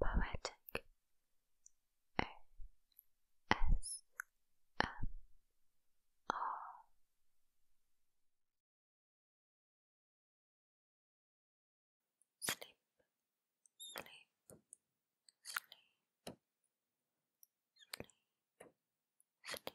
Poetic O S M R Sleep, sleep, sleep, sleep, sleep, sleep,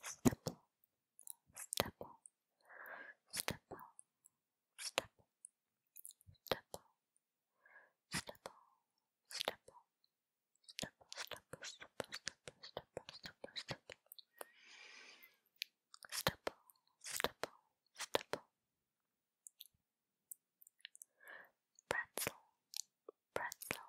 stipple, stipple, stipple, stipple, stipple, stipple, stipple, stipple, stipple, stipple, stipple, stipple, stipple, stipple. Stipple, stipple, Pretzel, pretzel,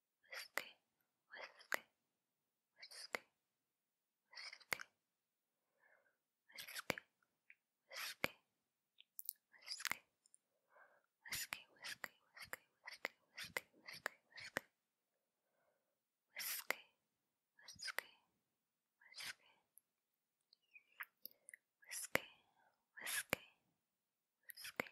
whiskey, whiskey, whiskey, whiskey, whiskey, whiskey, whiskey, whiskey, whiskey, whiskey, whiskey, whiskey, whiskey, whiskey. Whiskey, whiskey, whiskey, whiskey, whiskey, whiskey,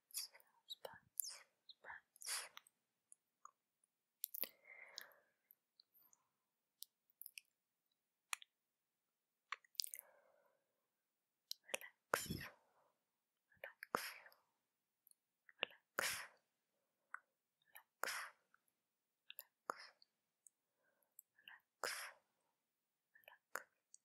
buns, those buns, those buns. Relax, relax, relax, relax, relax. Relax, relax,